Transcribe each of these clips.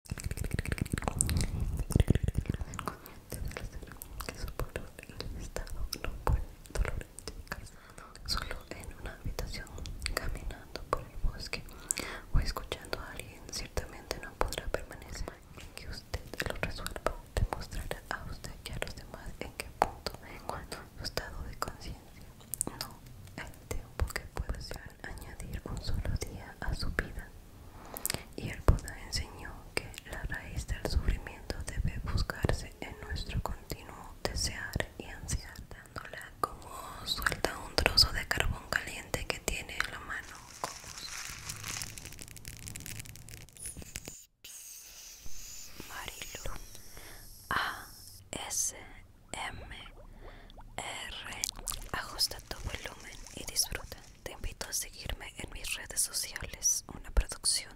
el estado no puede solo en una habitación, caminando por el bosque o escuchando a alguien, ciertamente no podrá permanecer. que usted lo resuelva, demostrará a usted y a los demás en qué punto, de encuentro su estado de conciencia, no el tiempo que puede ser añadir un solo día a su vida. Y el Buda enseñó que la raíz del sufrimiento debe buscarse en nuestro continuo desear y ansiar, dándole como suelta un trozo de carbón caliente que tiene en la mano. A S M R. Ajusta tu volumen y disfruta. Te invito a seguirme en mis redes sociales. Una producción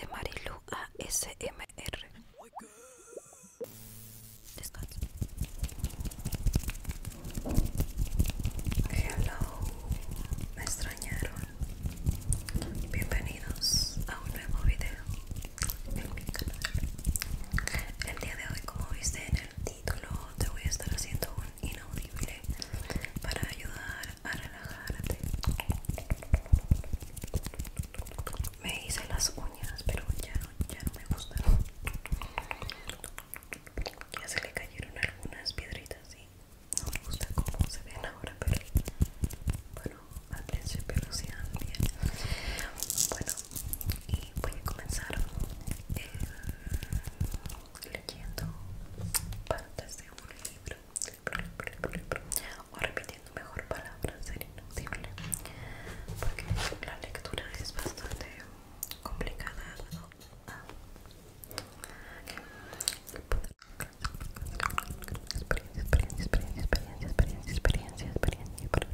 de Marilu ASMR. Descansa. Hello, me extrañaron. Bienvenidos a un nuevo video en mi canal. El día de hoy, como viste en el te voy a estar haciendo un inaudible para ayudar a relajarte. Me hice las uñas, pero ya no, ya me gustan. Ya se le cayeron algunas piedritas y no me gusta cómo se ven ahora, pero bueno, al principio lo hacían bien. Bueno, y voy a comenzar leyendo partes de un libro o repitiendo mejor palabras sería inaudible porque la lectura es bastante complicada ¿no? ah. experiencia, experiencia, experiencia, experiencia, experiencia, experiencia, experiencia, experiencia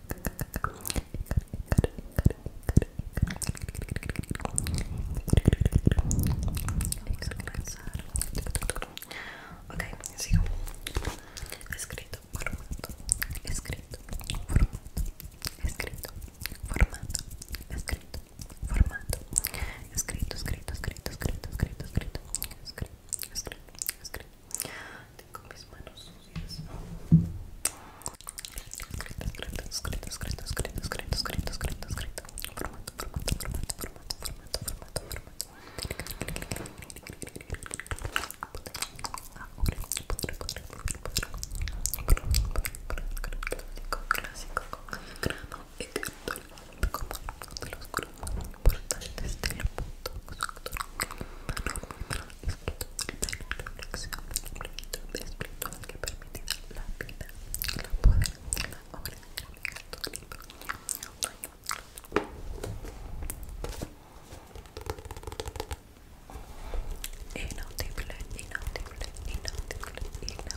Vamos a comenzar. Escrito, formato. Escrito, formato. Escrito, formato. Escrito, formato. escrito, escrito, escrito, escrito. Escrito, escrito, escrito lavarte con mis manos sucias. Cretas, cretas, cretas, cretas, cretas, cretas, cretas, cretas, cretas. Formato, formato, formato, formato, formato, de los importantes del mundo reflexión espiritual que permite la vida, la poder, la obra Inaudible, inaudible, inaudible, inaudible.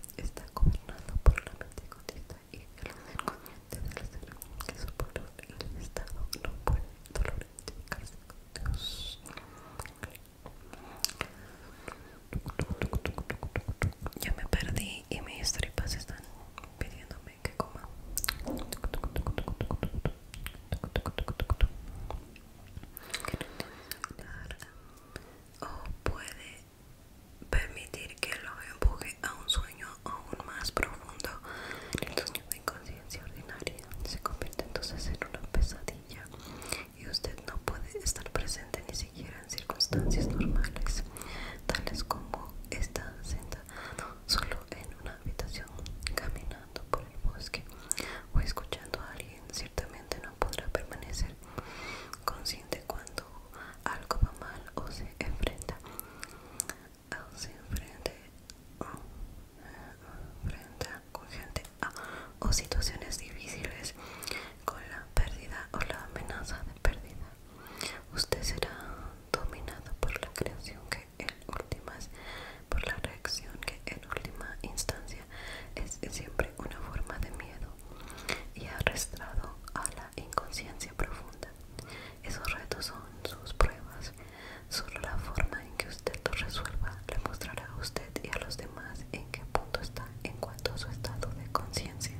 está gobernado por la mente y el de del ser que soporta el estado no puede dolor de cárcel Dios ya me perdí y mis tripas están pidiéndome que coma o oh, puede permitir que lo empuje a un sueño aún más profundo. El sueño de inconsciencia ordinaria se convierte entonces en una pesadilla y usted no puede estar presente ni siquiera en circunstancias normales, tales como estar sentado solo en una habitación, caminando por el bosque o escuchando a alguien ciertamente no podrá permanecer consciente cuando algo va mal o se enfrenta eh, con gente o situaciones difíciles con la pérdida o la amenaza de pérdida usted será dominado por la creación que últimas por la reacción que en última instancia es siempre una forma de miedo y arrastrado a la inconsciencia profunda. Esos retos son sus pruebas. Solo la forma en que usted los resuelva le mostrará a usted y a los demás en qué punto está en cuanto a su estado de conciencia.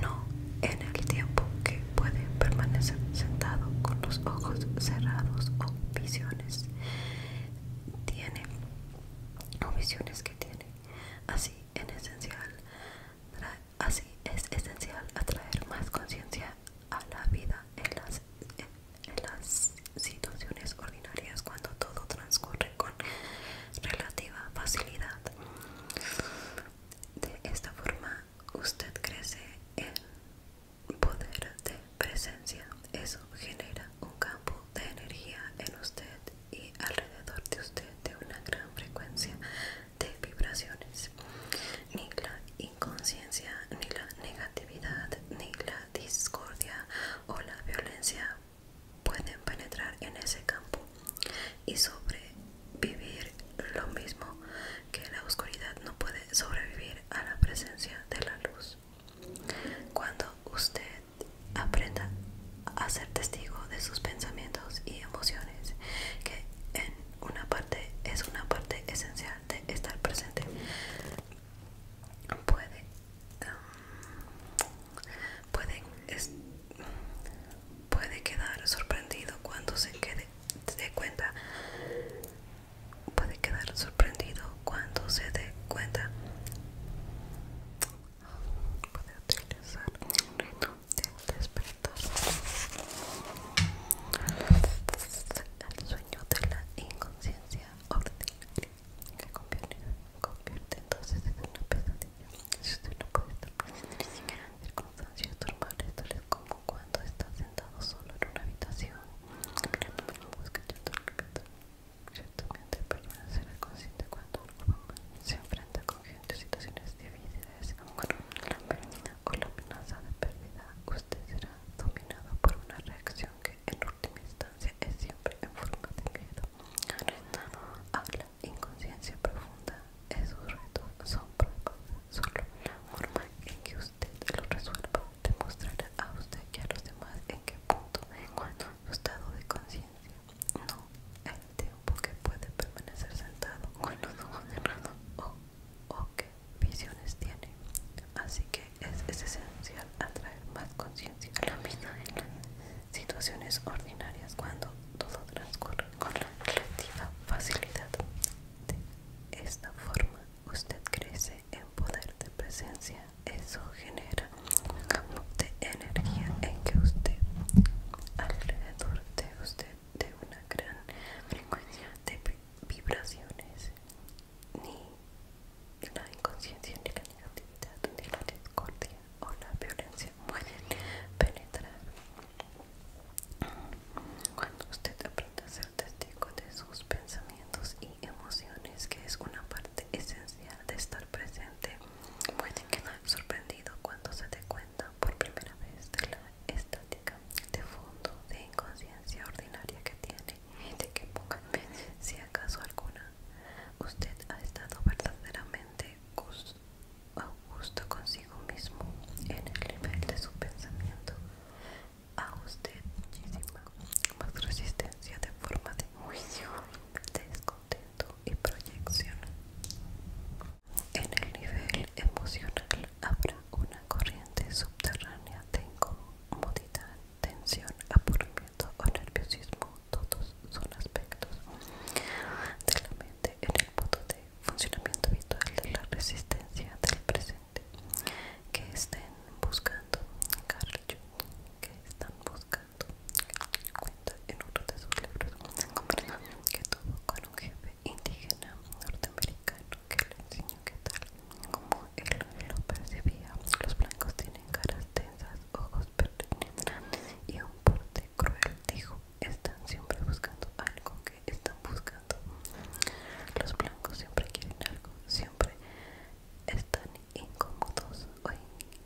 No en el tiempo que puede permanecer sentado con los ojos cerrados o visiones tiene o visiones que tiene Así, en esencial, así es esencial atraer más conciencia a la vida en las, en las situaciones ordinarias cuando todo transcurre con relativa facilidad. De esta forma, usted crece en poder de presencia. Eso genera un campo de energía en usted y alrededor de usted de una gran frecuencia de vibraciones. Ni la inconsciencia, ni la negatividad, ni la discordia o la violencia pueden penetrar en ese campo y sobrevivir lo mismo que la oscuridad no puede sobrevivir a la presencia de la luz. Cuando usted aprenda a ser testigo de sus pensamientos y emociones, que en una parte es una parte esencial de estar presente, puede, um, puede, puede quedar sorprendido cuando se quede de cuenta puede quedar sorprendido cuando se dé cuenta puede utilizar un reino de despertar el sueño de la inconsciencia ordinaria que convierte, entonces en una pesadilla si usted no puede estar presente ni siquiera en circunstancias normales vez como cuando está sentado solo en una habitación mirando un bosque Ciertamente el perdón será consciente cuando se enfrenta con gente situaciones difíciles, con la amenaza de pérdida, usted será dominado por una reacción que en última instancia es siempre en forma de miedo. Habla inconsciencia profunda, esos retos son propios, solo la forma en que usted los resuelva demostrará a usted y a los demás en qué punto, de encuentro su estado de conciencia no, el tiempo que puede permanecer sentado con los ojos cerrados o, qué visiones tiene. Así que es, esencial atraer más conciencia a la vida en las situaciones ordinarias cuando todo transcurre con la relativa facilidad. De esta forma, usted crece en poder de presencia eso genera un campo de energía en que usted alrededor de usted de una gran frecuencia de vibraciones ni la inconsciencia ni la negatividad ni la discordia o la violencia pueden penetrar cuando usted aprende a ser testigo de sus pensamientos emociones, que es una parte esencial de estar presente, pueden quedar sorprendido cuando se dé cuenta por primera vez de la estática de fondo de inconsciencia ordinaria que tiene y de que pónganme si acaso alguna usted ha estado verdaderamente Augusto consigo mismo en el nivel de su pensamiento. A usted muchísima más resistencia de forma de juicio descontento y proyección. En el nivel emocional habrá una corriente subterránea de incomodidad, tensión, aburrimiento o nerviosismo. Todos son aspectos de la mente en el modo de funcionamiento habitual de la resistencia del presente que estén buscando Carl que están buscando cuenta en uno de sus libros en que tuvo con un jefe indígena norteamericano que le enseñó que tal como él lo percibía los blancos tienen caras tensas, ojos pertinentes y un porte cruel dijo están siempre buscando algo que están buscando los blancos siempre quieren algo siempre están incómodos o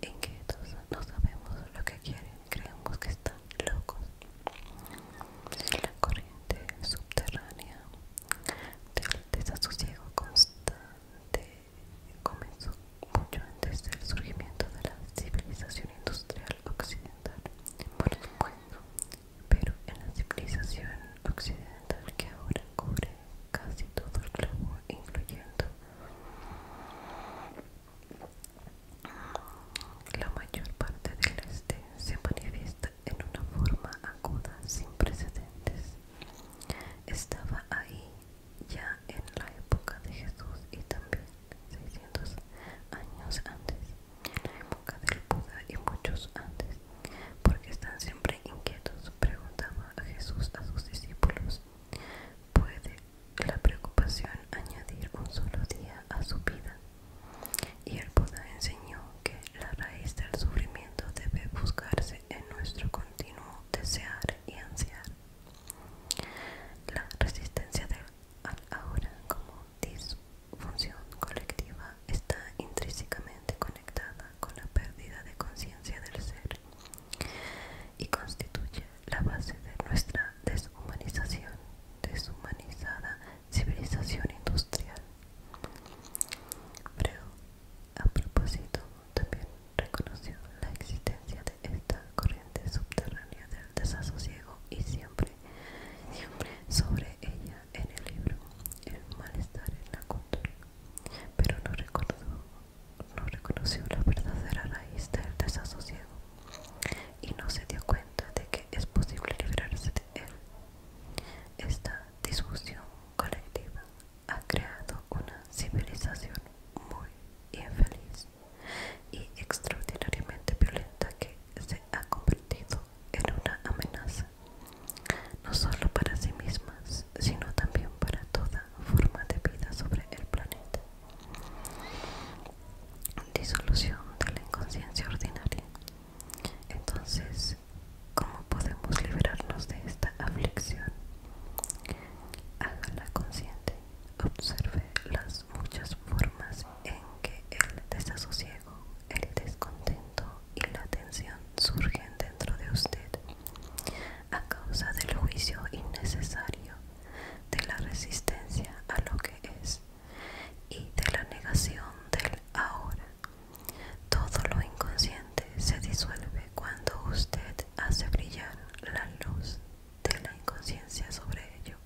inquietos, no sabemos lo que quieren, creemos que están locos. La corriente subterránea del desasosiego constante comenzó mucho antes del surgimiento de la civilización industrial occidental. Por el pero en la civilización occidental que ahora cubre casi todo el globo, incluyendo la mayor parte del este, se manifiesta en una forma aguda sin precedentes. Estaba ahí ya en la época de Jesús y también 600 años antes, en la época del Buda y muchos antes, porque están siempre inquietos, preguntaba a Jesús a sus discípulos, ¿puede la preocupación añadir un solo día a su vida? Y el Buda enseñó que la raíz del sufrimiento debe buscarse en nuestro continuo desear y ansiar. La resistencia del ahora como disfunción colectiva está intrínsecamente conectada con la pérdida de conciencia del ser y constituye la base de nuestra deshumanización, deshumanizada civilización industrial. Pero, a propósito, también reconoció la existencia de esta corriente subterránea del desasosiego y siempre, siempre sobre ella en el libro El malestar en la cultura, pero no recordó no reconoció la verdadera raíz del desasosiego y no se dio cuenta de que es posible librarse de él. Esta discusión colectiva ha creado una civilización muy infeliz y extraordinariamente violenta que se ha convertido en una amenaza no solo para sí mismas, sino también para toda forma de vida sobre el planeta. Disolución de la inconsciencia ordinaria. Entonces, ¿cómo podemos liberarnos de esta aflicción? la consciente. Observe las muchas formas en que el desasosiego, el descontento y la tensión surgen dentro de usted a causa del juicio innecesario, de la resistencia a lo que es y de la negación del ahora. Todo lo inconsciente se disuelve cuando usted hace brillar la luz de la inconsciencia sobre ello,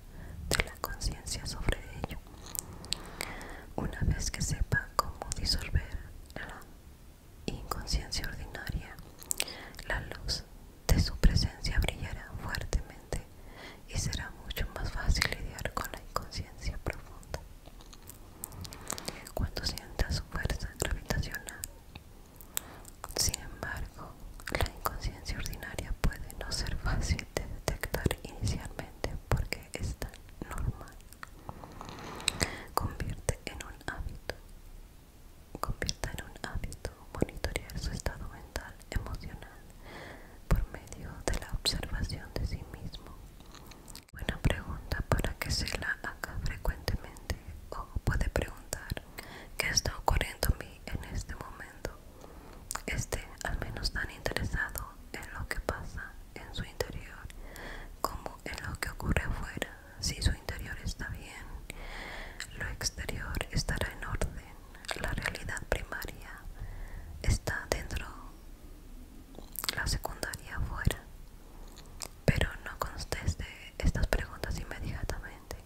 de la conciencia sobre ello. Una vez que sepa cómo disolver inconsciencia ordinaria, la luz de su presencia brillará fuertemente y será mucho más fácil lidiar con la inconsciencia profunda. Cuando sienta su fuerza gravitacional, sin embargo, la inconsciencia ordinaria puede no ser fácil de detectar inicialmente porque es tan normal. Convierte en un hábito. convierte en un hábito monitorear su estado mental, emocional, por medio de la observación de sí mismo. Buena pregunta para que se la haga frecuentemente o puede preguntar qué está ocurriendo a mí en este momento. Esté al menos tan interesado en lo que pasa en su interior como en lo que ocurre afuera. Si su interior está bien, lo exterior estará en orden. La realidad primaria está dentro, la secundaria afuera. Pero no conteste estas preguntas inmediatamente.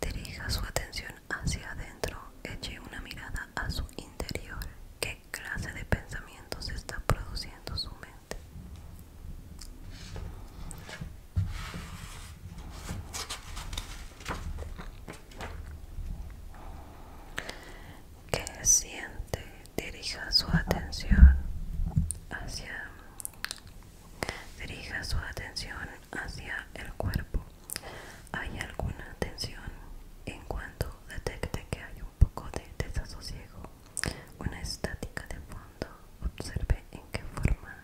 Dirija su atención hacia adentro, eche una mirada a su interior clase de pensamientos está produciendo su mente. Que siente, dirija su atención hacia dirija su atención hacia el cuerpo. ¿Hay alguna tensión en cuanto detecte que hay poco de desasosiego, una estática de fondo. Observe en qué forma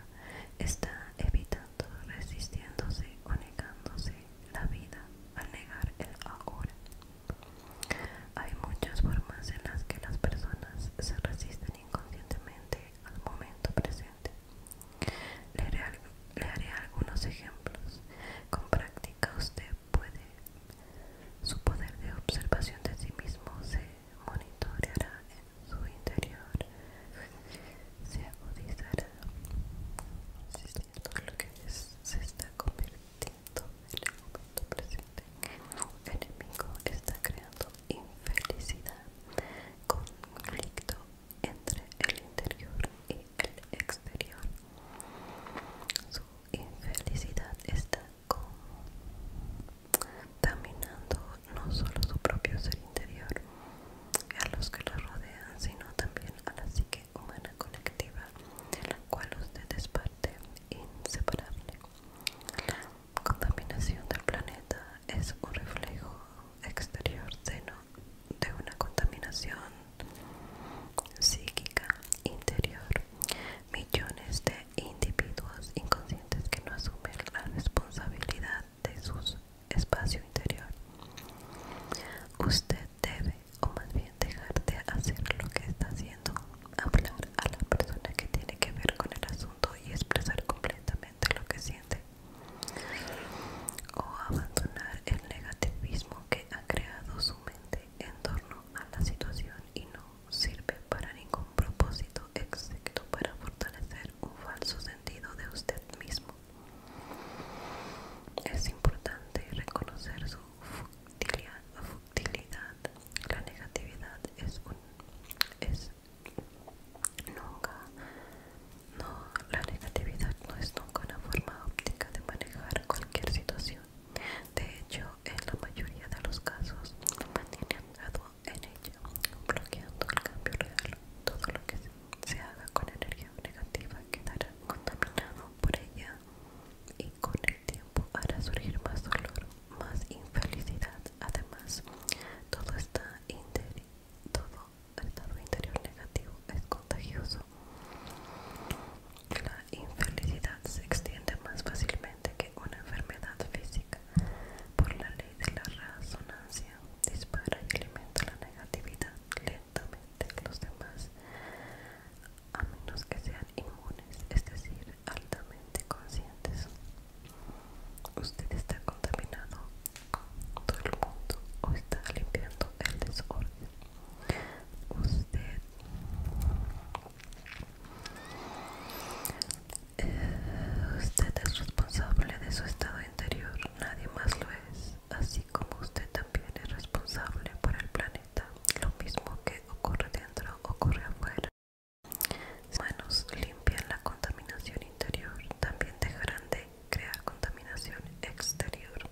está evitando, resistiéndose o negándose la vida al negar el ahora. Hay muchas formas en las que las personas se resisten inconscientemente al momento presente. Le haré, algunos ejemplos. Con práctica usted puede su poder de observación de sí mismo se monitoreará en su interior se agudizará cierto lo que es, se está convirtiendo en el momento presente en enemigo está creando infelicidad conflicto entre el interior y el exterior su infelicidad está contaminando no solo su propio ser interior a los que lo rodean, sino también a la psique humana colectiva, de la cual usted es parte inseparable. La contaminación del planeta es un reflejo exterior seno de una contaminación psíquica interior. Millones de individuos inconscientes que no asumen la responsabilidad de su espacio interior. Usted debe, o más bien dejar de hacer lo que está haciendo, hablar a la persona que tiene que ver con el asunto y expresar completamente lo que siente. O abandonar el negativismo que ha creado su mente en torno a la situación y no sirve para ningún propósito excepto para fortalecer un falso sentido de usted mismo. Es importante reconocer su futilidad. La negatividad es un no la negatividad no es nunca una forma óptica de manejar cualquier situación. De hecho, en la mayoría de los casos mantiene anclado en ella, bloqueando el cambio real. Todo lo que se haga con energía negativa quedará contaminado por ella y con el tiempo hará surgir más dolor, más infelicidad. Además, todo, está todo estado interior negativo es contagioso la infelicidad se extiende más fácilmente que una enfermedad física. Por la ley de la resonancia, dispara y alimenta la negatividad lentamente a los demás, a menos que sean inmunes, es decir, altamente conscientes. Usted está contaminado, todo el mundo, o está limpiando el desorden. Usted eh, usted es responsable de su estado interior, nadie más lo es, así como usted también es responsable por el planeta. Lo mismo que ocurre dentro, ocurre afuera. Si manos limpian la contaminación interior, también dejarán de crear contaminación exterior.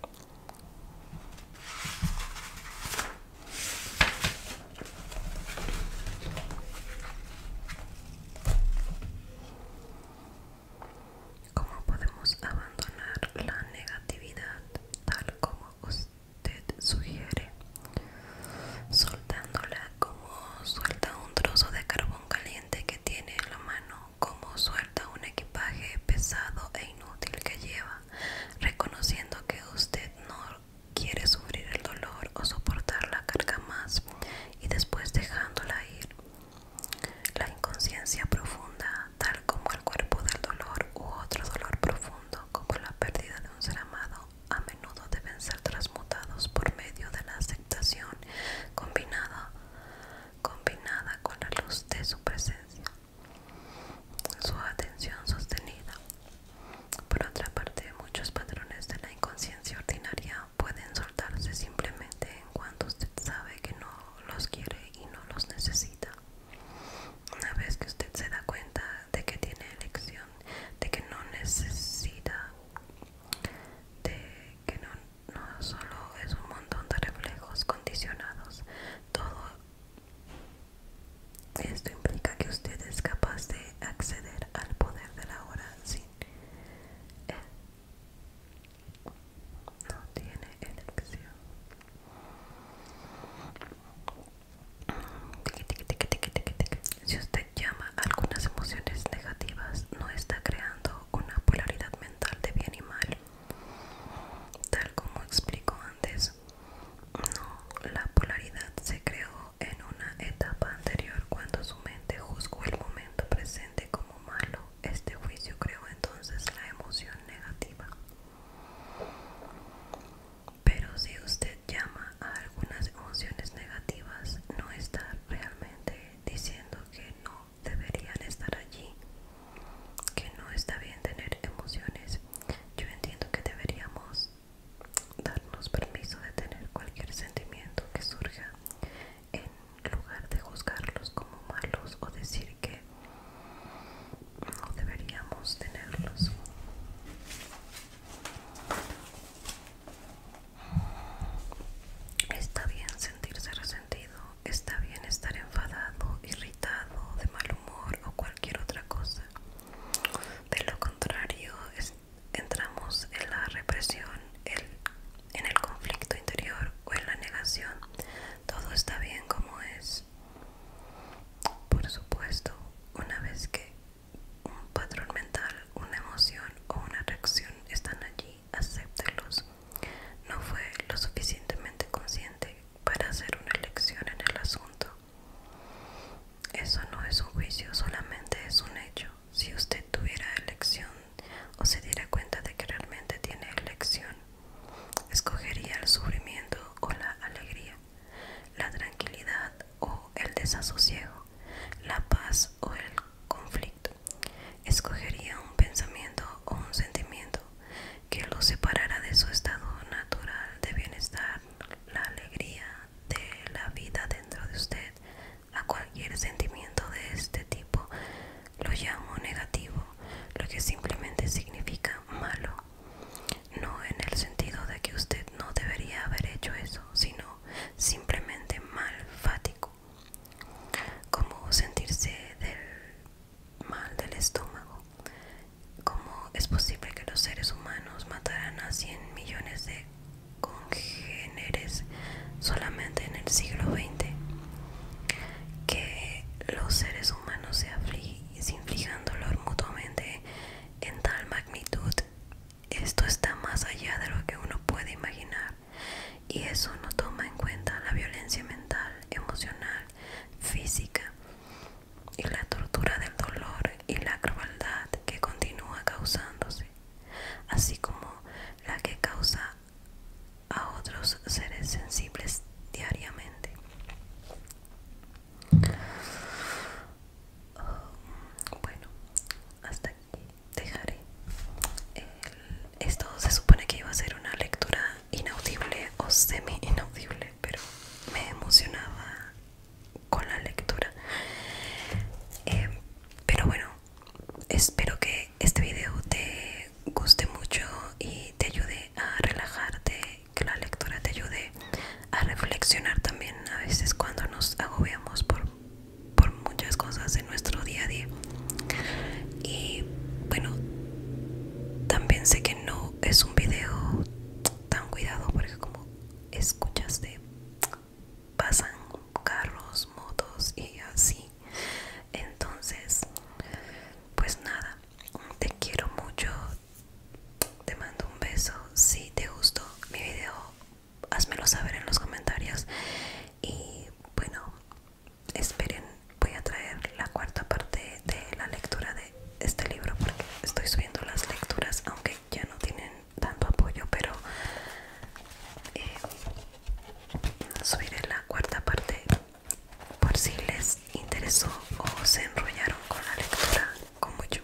¿Cómo podemos abandonar la negatividad tal como usted sugiere? Soltándola como suelta un trozo de carbón caliente que tiene en la mano, como suelta un equipaje pesado e inútil que lleva reconociendo que usted no quiere sufrir el dolor o soportar la carga más y después dejándola ir. La inconsciencia profunda, tal como el cuerpo del dolor u otro dolor profundo, como la pérdida de un ser amado, a menudo deben ser transmutados por medio de la aceptación combinada, combinada con la luz de su presencia. Su atención sostenida. Por otra parte, muchos patrones de la inconsciencia ordinaria pueden soltarse simplemente en cuanto usted sabe que no los quiere y no los necesita. Una vez que usted se da cuenta de que tiene elección, de que no necesita, de que no, no solo es un montón de reflejos condicionados, todo esto implica que usted es capaz de acceder al poder de la hora sin él. No tiene elección. Si usted llama algunas emociones negativas, no está creando una polaridad mental de bien y mal. Tal como explico antes, no, la polaridad se creó en una etapa anterior cuando su mente juzgó el momento presente como malo. Este juicio creó entonces la emoción negativa. Pero si usted llama a algunas emociones negativas, no está realmente diciendo que no deberían estar allí, que no está bien tener emociones. Yo entiendo que deberíamos darnos permiso de tener cualquier sentimiento que surja en lugar de juzgarlos como malos o decir que no deberíamos tenerlos. Está bien sentirse resentido está bien estar enfadado, irritado, de mal humor o cualquier otra cosa. De lo contrario, entramos en la represión, en el conflicto interior o en la negación. Todo está bien como es. Por supuesto, una vez que un patrón mental, una emoción o una reacción están allí, acéptelos No fue lo suficientemente consciente para hacer una elección en el asunto. Eso no es un juicio, solamente es un hecho. Si usted tuviera elección o se diera cuenta de que realmente tiene elección, escogería el sufrimiento o la alegría, la tranquilidad o el desasosiego, la paz o el conflicto. Escogería un pensamiento o un sentimiento, que lo separara de su estado natural de bienestar, la alegría de la vida dentro de usted. A cualquier sentimiento de este tipo lo llamo negativo, lo que simplemente significa malo. No en el sentido de que usted no debería haber hecho eso, sino simplemente malfático. Como sentirse del mal del estómago. ¿Cómo es posible que los seres humanos mataran a 100 millones de congéneres solamente en el siglo XX? Que los seres humanos se, se inflijan dolor mutuamente en tal magnitud, esto está más allá de lo que uno puede imaginar. Y eso no toma en cuenta la violencia mental, emocional física y la tortura del dolor y la crueldad que continúa causándose, así como la que causa a otros seres sensibles diariamente. Oh, bueno, hasta aquí dejaré. esto se supone que iba a ser una lectura inaudible o semi inaudible, pero me emocionaba con la lectura. Eh, pero bueno, espero que este video te guste mucho y te ayude a relajarte, que la lectura te ayude a reflexionar también a veces cuando nos agobiamos por, por muchas cosas en nuestro día a día. Y bueno, también sé que no es un video tan cuidado porque como escuchaste pasan carros, motos y así. Entonces, pues nada, te quiero mucho. Te mando un beso. Si te gustó mi video, házmelo saber en los comentarios. Y bueno, esperen, voy a traer la cuarta parte de la lectura de este libro porque estoy subiendo las lecturas, aunque ya no tienen tanto apoyo, pero eh, subiré la cuarta parte por si les interesó o se enrollaron con la lectura como yo.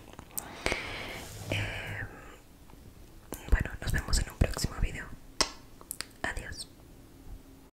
Eh, bueno, nos vemos en un próximo video. Adiós.